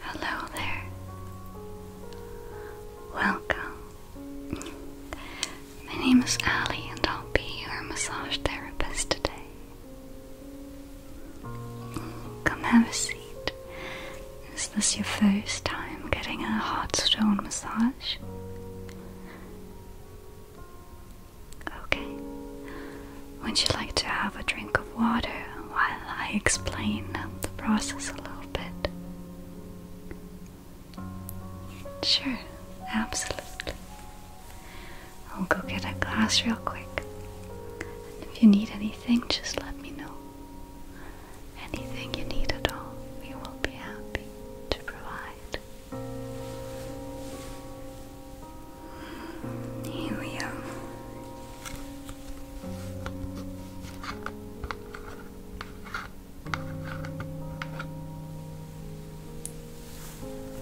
Hello there. Welcome. My name is Ali, and I'll be your massage therapist today. Come have a seat. Is this your first time getting a hot stone massage? Okay. Would you like to have a drink of water while I explain the process a little? Sure, absolutely. I'll go get a glass real quick. And if you need anything, just let me know. Anything you need at all, we will be happy to provide. Here we are.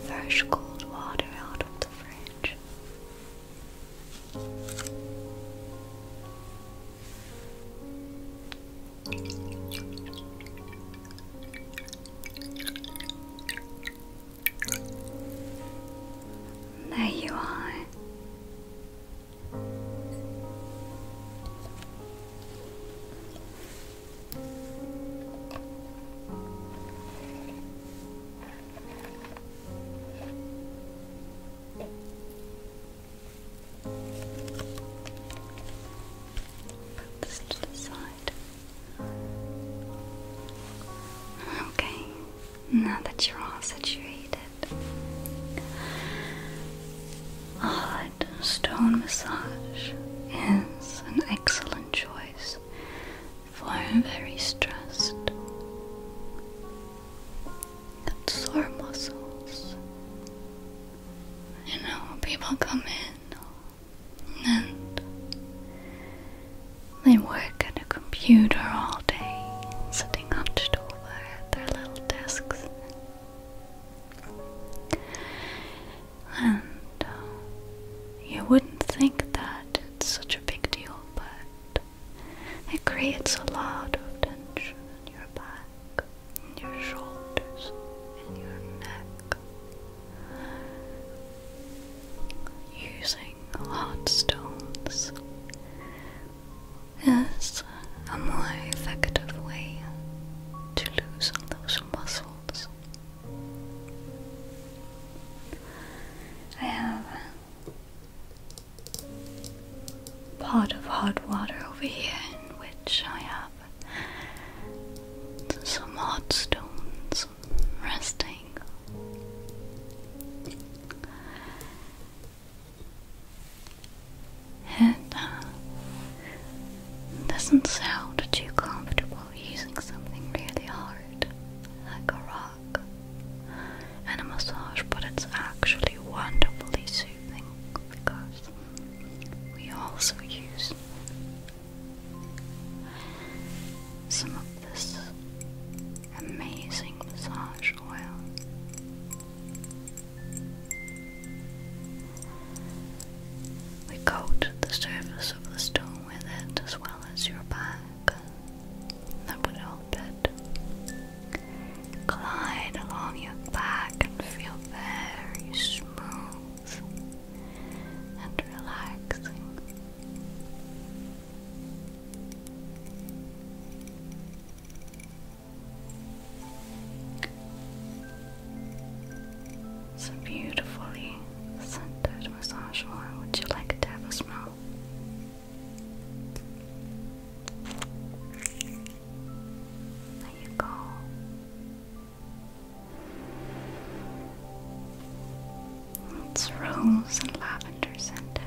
Fresh cold water out of the fridge. There you are. Put this to the side. Okay, now that you're all situated, a hot stone massage is an excellent choice for very stressed and sore muscles. You know, people come in and they work at a computer all day, sitting on to stool their little desks. And uh, you wouldn't think that it's such a big deal, but it creates a lot of tension in your back, in your shoulders, in your neck. Using hot stones is a more effective way to loosen those muscles. I have a pot of hot water over here in which I have some hot stones resting. It doesn't sound too comfortable using something really hard, like a rock and a massage, but it's actually wonderfully soothing because we also use some of this amazing massage we coat the surface of the stone with it as well as your back. That would help it. Glide along your back and feel very smooth and relaxing. It's a beautifully scented massage oil. Would you like to have a smell? There you go. It's rose and lavender scented.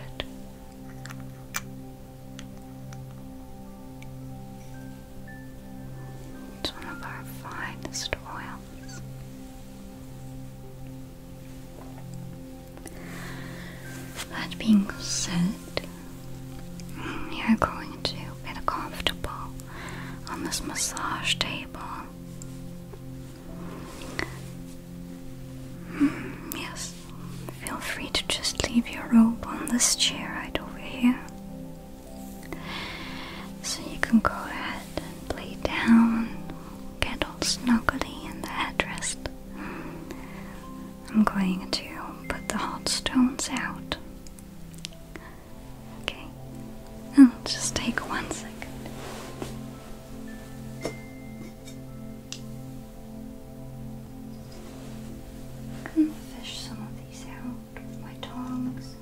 It's one of our finest oils. That being said, you're going to get comfortable on this massage table. Hmm, yes, Feel free to just leave your robe on this chair right over here. So you can go ahead and lay down, get all snuggly in the headrest. I'm going to put the hot stones out. Okay, oh, just take one second. I to fish some of these out with my tongs.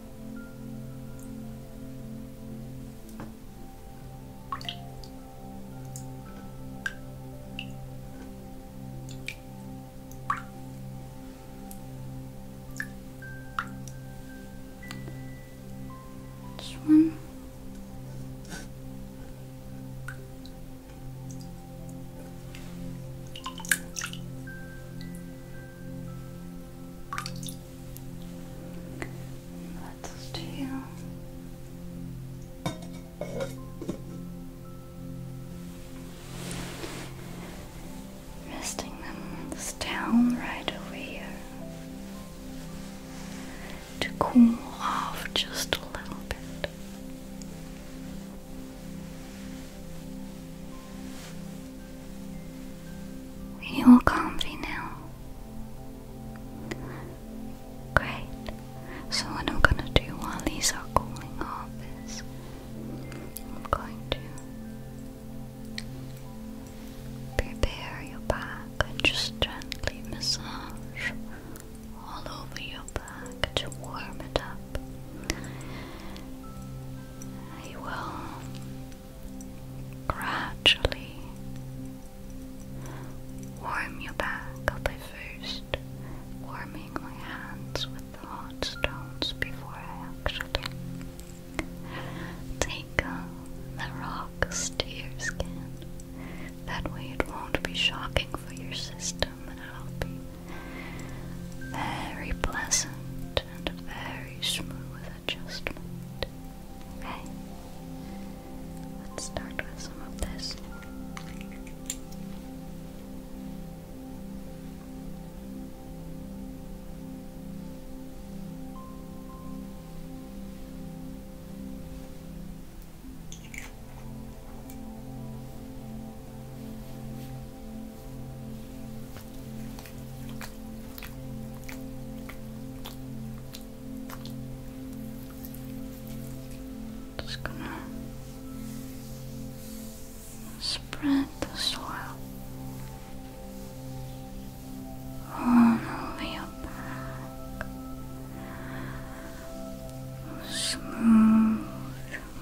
This one. Let's do resting them down right over here to cool off just a little bit. Are you all comfy now? Great. So what I'm gonna do while these are cooling off is I'm going to prepare your back and just gently massage all over your back to warm it up. I will gradually warm your back. i first warming my hands with hot stones before I actually take uh, the rock to your skin. That way it won't be shocking for your system very pleasant and very smooth adjustment. Okay, let's start with some of this. Just gonna spread the soil all over your back smooth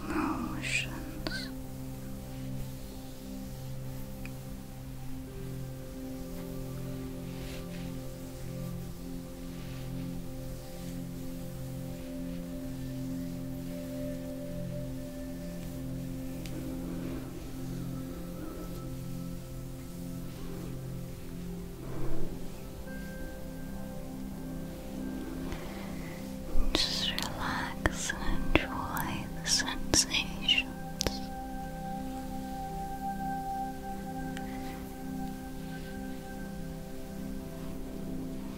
motions. Relax. Just relax and enjoy the sensations.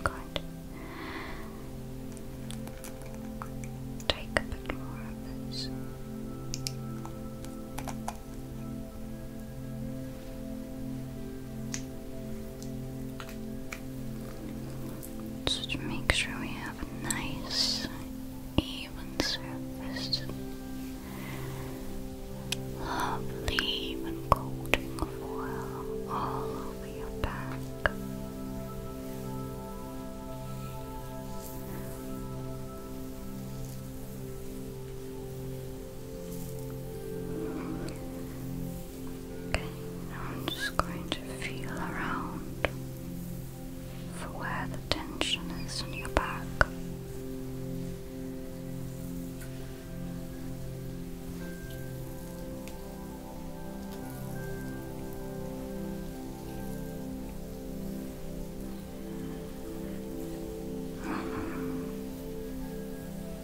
Good. Take a bit more of this. Just make sure we have a nice, even surface. Lovely, even coating of oil all over your back. Okay, now I'm just going to feel around for where the tension is in your back.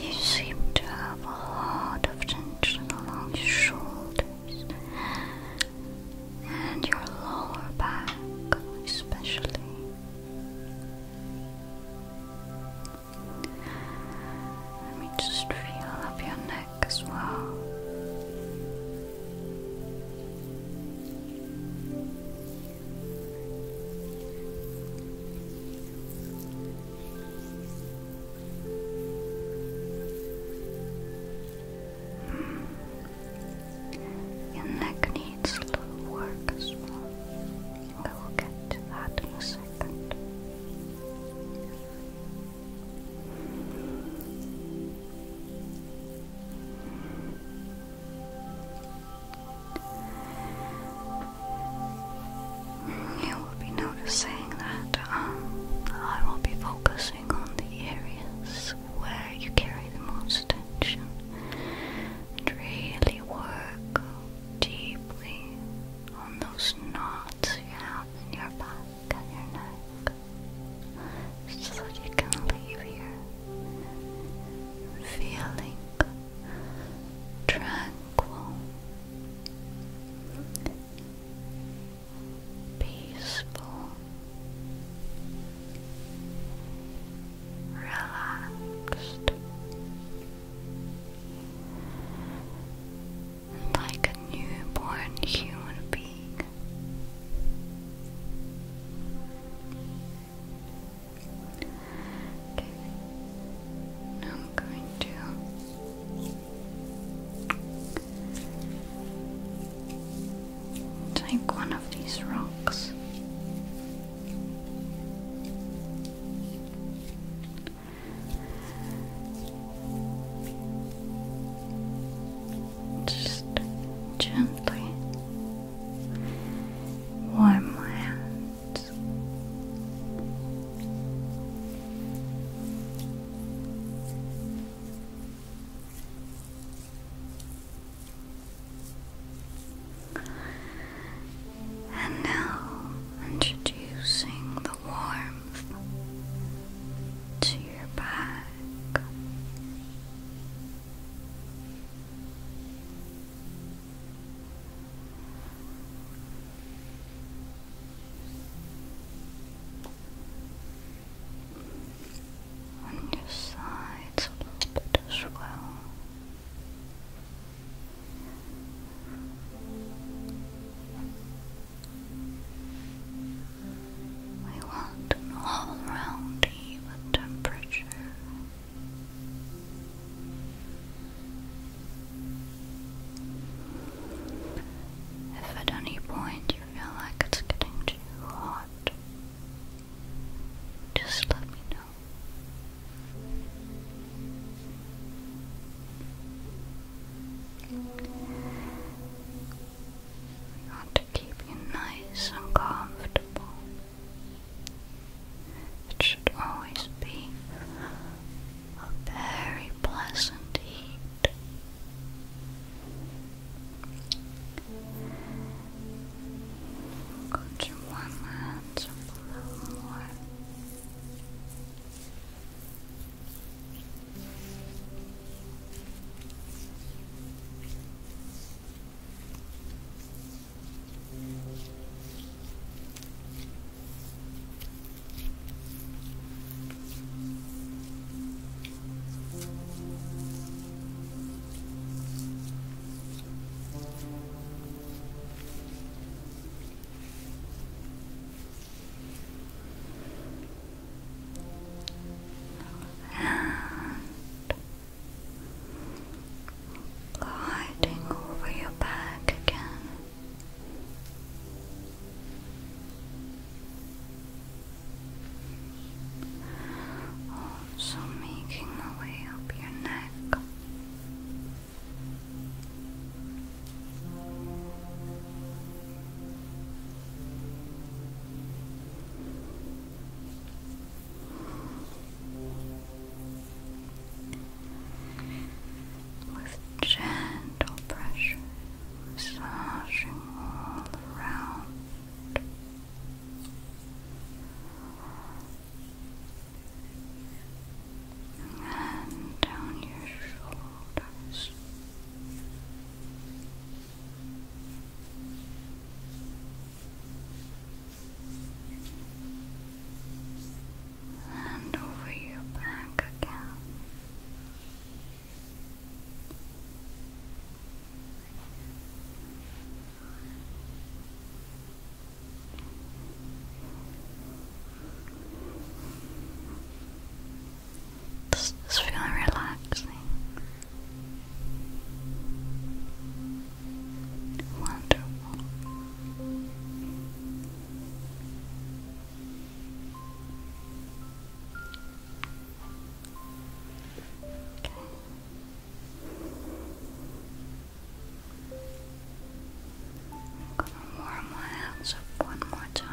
You seem to have a lot of tension along your shoulders and your lower back, especially. Let me just feel up your neck as well. Your neck needs a work as well. I will get to that in a second. You will be noticing that um, I will be focusing on the areas where you carry the most tension and really work deeply on those knots you have in your back and your neck so that you can leave here feeling tranquil peaceful, relaxed, like a newborn human being. I'm going to Take one of these rocks. Just gently warm my hand thoughts. And now, introducing the warmth to your back on your sides a little bit as well. We want an all-round even temperature. If at any point you feel like it's getting too hot, just let me know. I to keep you nice and comfortable. It should always be a very pleasant heat. Go to one hand a little more. And gliding over your back again. Also making my way up your neck with gentle pressure massaging all around. And down your shoulders and over your back again. Does this feel relaxing? Wonderful. Okay. I'm gonna warm my hands up one more time.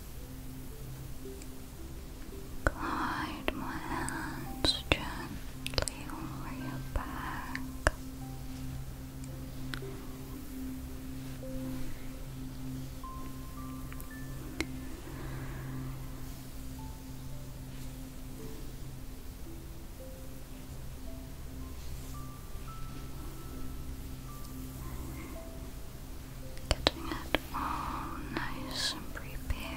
Glide my hands gently over your back. Getting it all nice and prepared.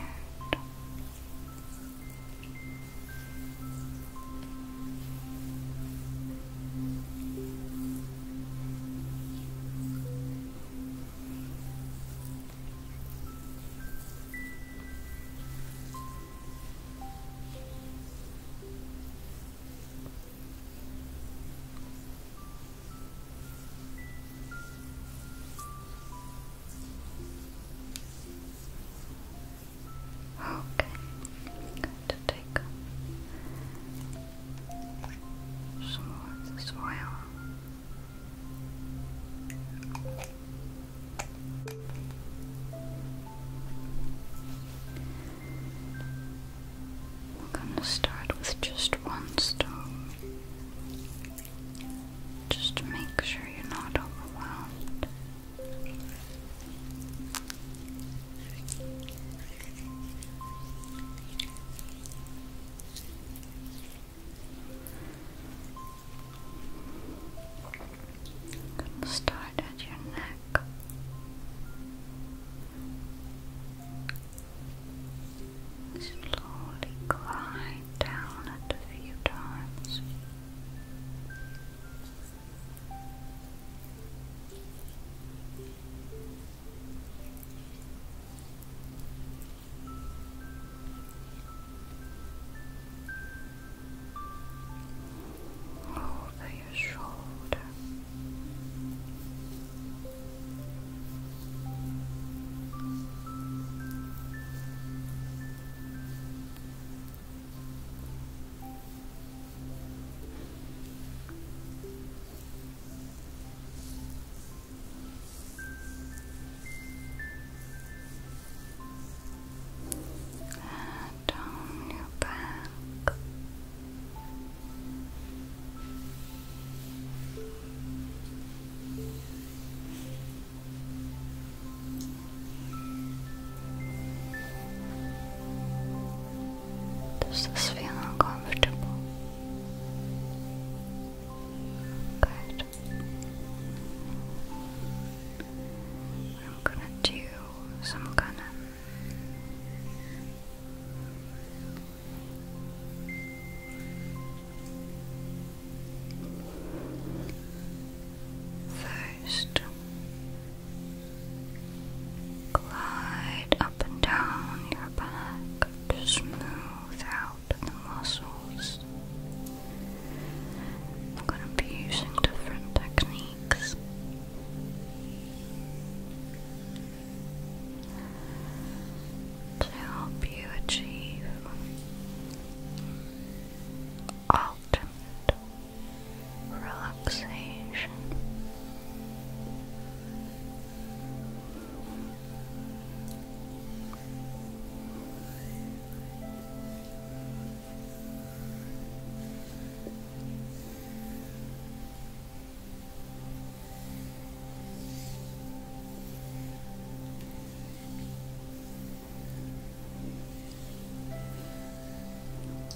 Okay, i to take some more of this we're gonna start with just one stone. Just make sure you're not overwhelmed. start at your neck. Slowly glide down a few times. Over your shoulder, down your back. Does this feel uncomfortable? Good. I'm gonna do some kind of First, glide up and down your back to smooth out the muscles. I'm going to be using different techniques to help you achieve ultimate relaxation.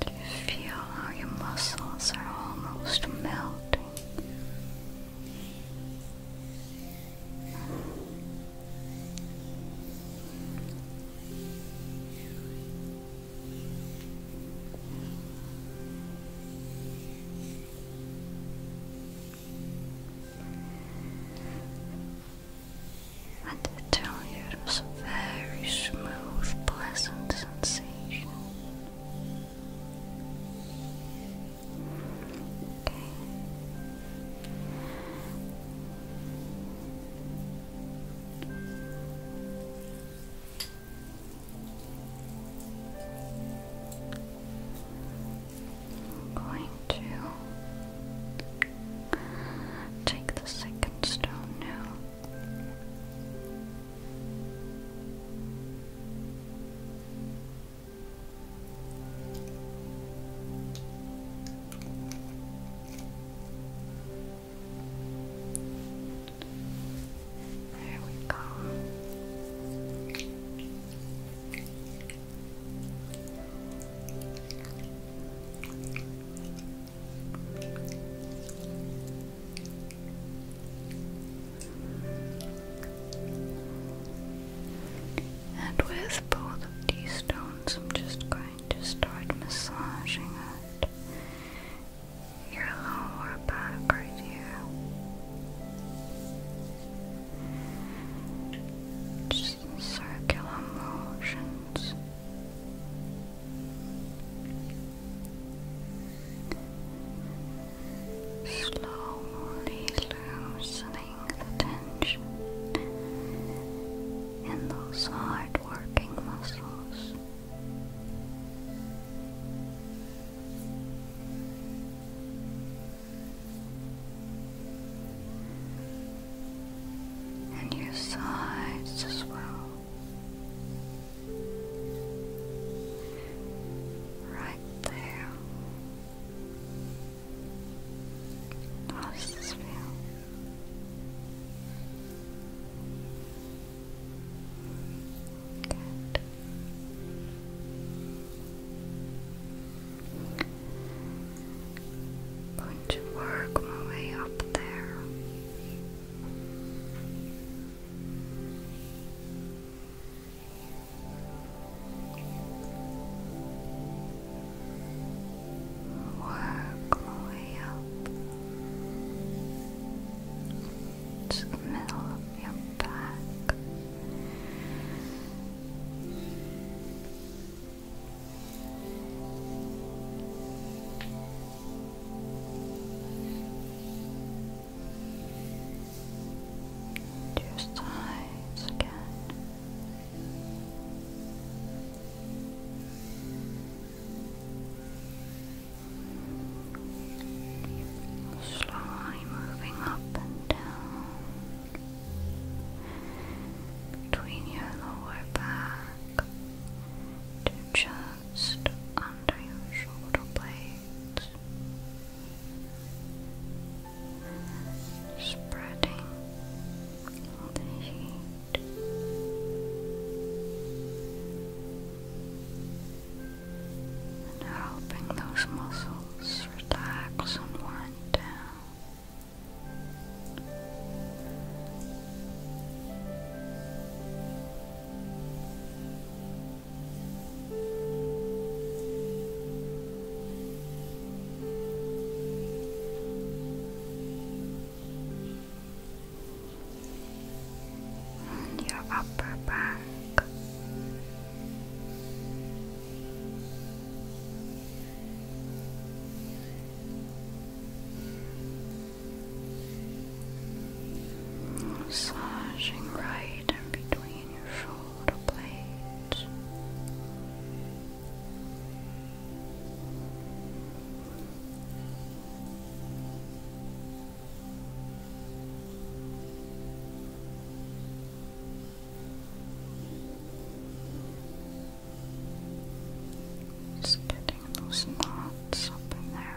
Do you feel how your muscles are almost melting? And I tell you, it was a very smooth, pleasant sensation. Okay. I'm going to take the second stone now. There we go. And with both of these stones, I'm just going to start massaging it your lower back right here. Just circular motions. Slowly loosening the tension in those hard working muscles and your sides as well. Right there. How does this feel? Good. Going to work my way up there. Work my way up towards the middle of your back. And your again. Slowly moving up and down between your lower back to just under your shoulder blades, spreading the heat and helping those muscles relax and wind down your upper back. Massaging right in between your shoulder blades. Just getting those knots up in there.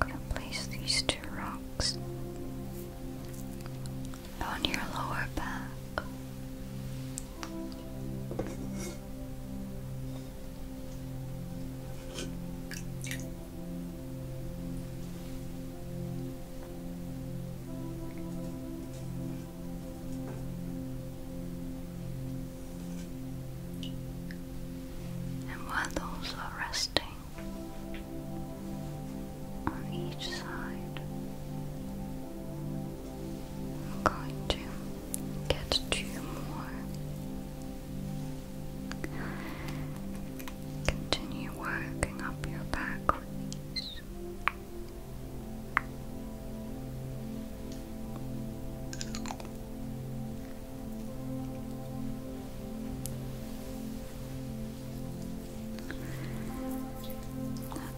I'm going to place these two rocks on your lower back and while those are resting on each side, I'm going to get two more. Continue working up your back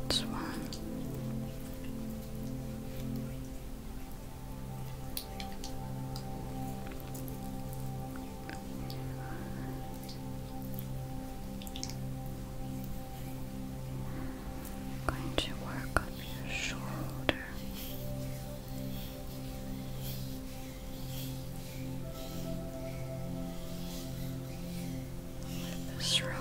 That's one. I'm going to work up your shoulder. With this rock.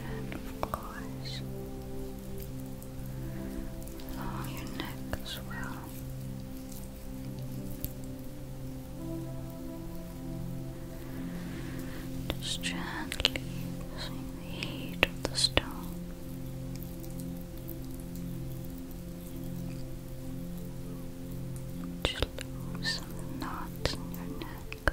And of course, along your neck as just gently using the heat of the stone. Just lose some knots in your neck.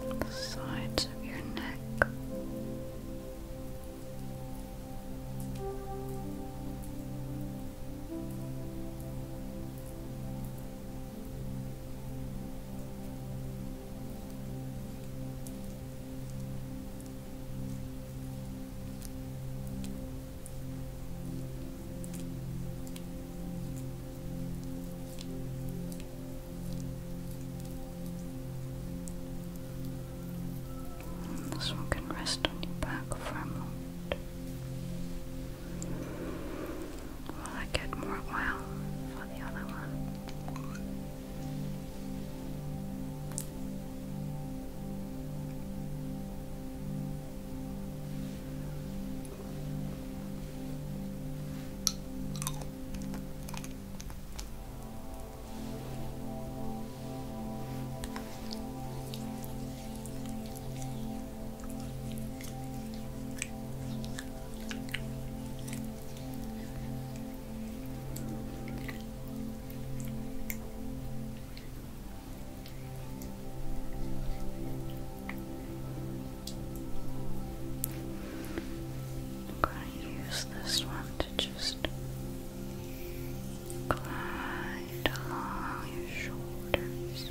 the sides of your neck. This one can rest on your back for a moment. Will I get more oil for the other one? I use allows one to just glide along your shoulders.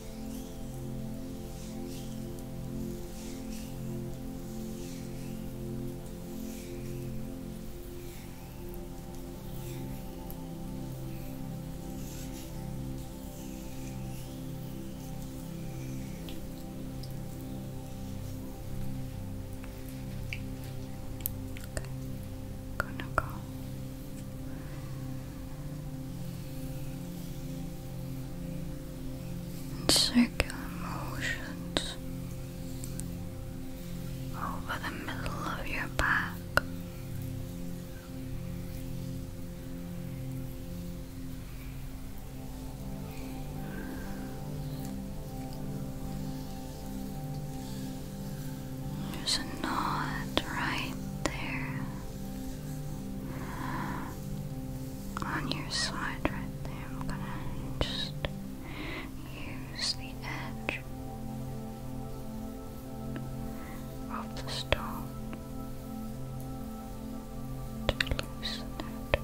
Okay. Go no go in circular motions over the middle of your back. There's a knot right there. On your side right there. I'm gonna just use the edge of the stone to loosen it.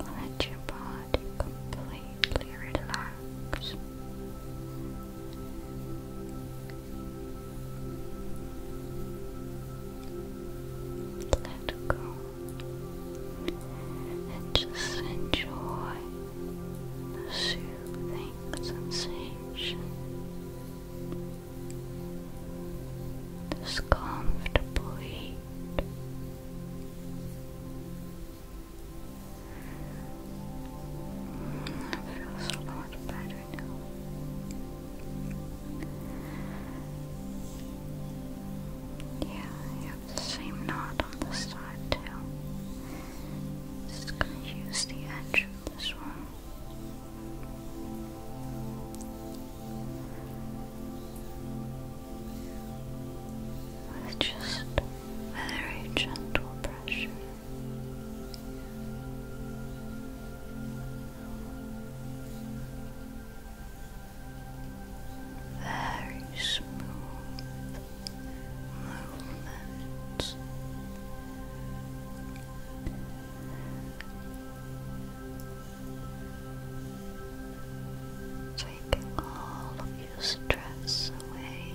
Let your body completely relax. Let go and just enjoy the soothing sensation this comfortable heat. Mm, it feels better now. Yeah, you have the same knot on the side too. Just gonna use the edge of this one with just very gentle pressure. Very smooth movements Taking all of your stress away.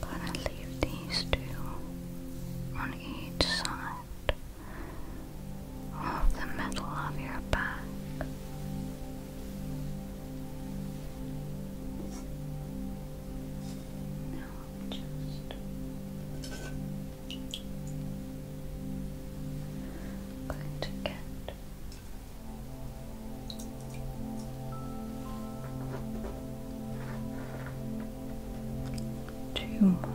Gonna leave these two on each side of the middle of your back. Now I'll just going to get two more.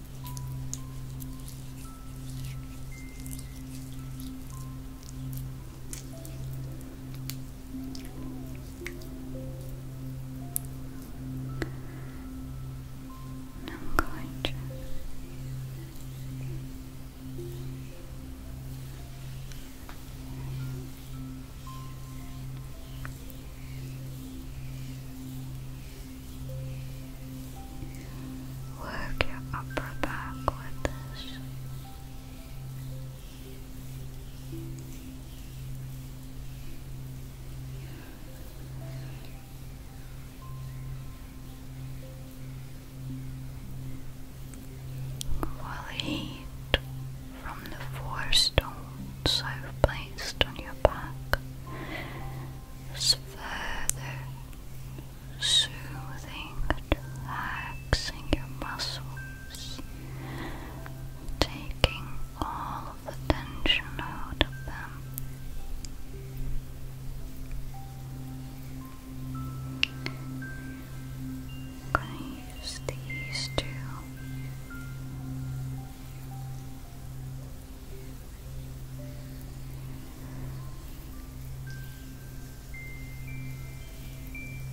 And I'm going to Work your upper back with this. While heat from the four stones I've placed on your back further soothing and relaxing your muscles, taking all of the tension out of them. I'm going to use these two.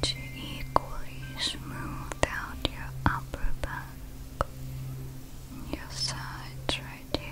To equally smooth out your upper back your sides right here.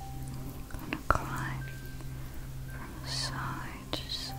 I'm gonna climb from side to side.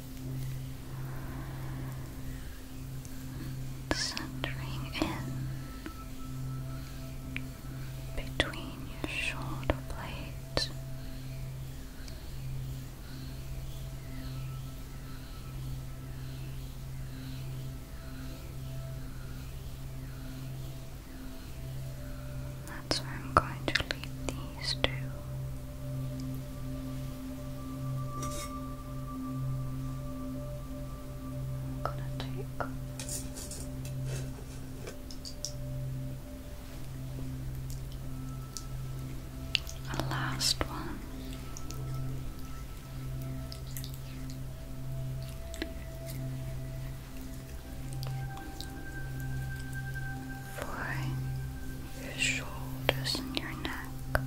Centering in between your shoulder blades. That's where I'm going to leave these two. I'm gonna take a last one your shoulders and your neck.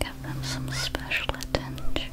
Give them some special attention.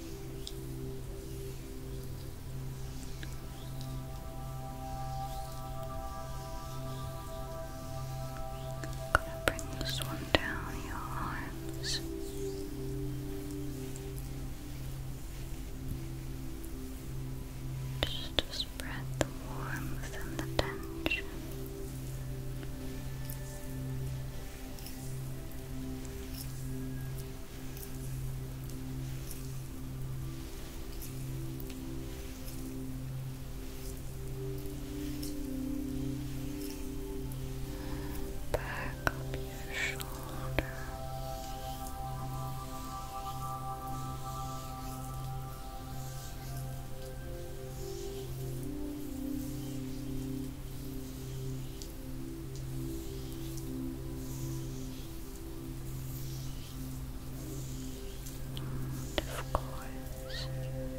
Gonna bring this one down your arms. Just to spread the warmth and the tension. Back up your shoulder. And of course, gently massaging your neck.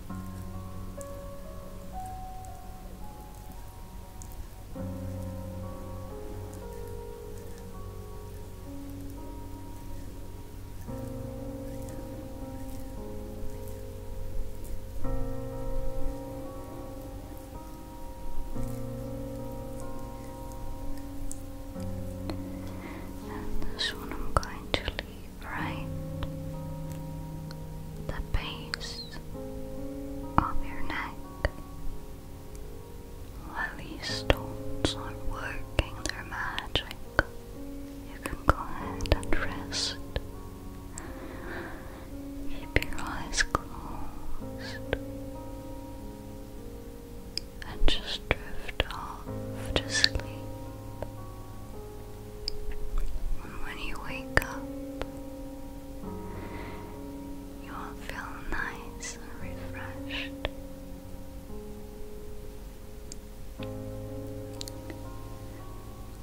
And this I'm going to leave right the base of your neck. While these stones are working their magic, you can go ahead and rest. Keep your eyes closed and just drift off to sleep. When you wake up, you will feel nice and refreshed.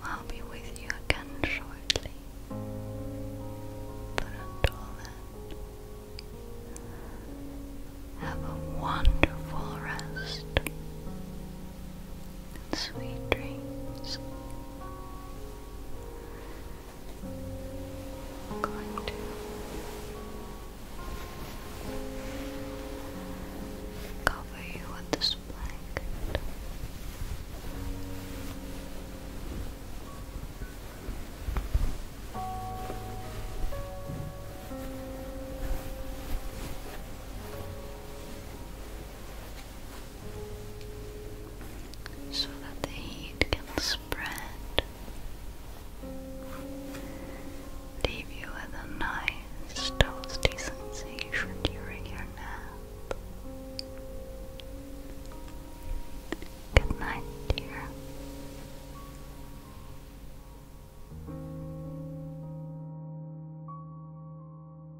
I'll be with you again shortly. But until then, have a wonderful rest and sweet dreams. going to cover you with this blanket so that the heat can spread, leave you with a nice toasty sensation during your nap. Good night, dear.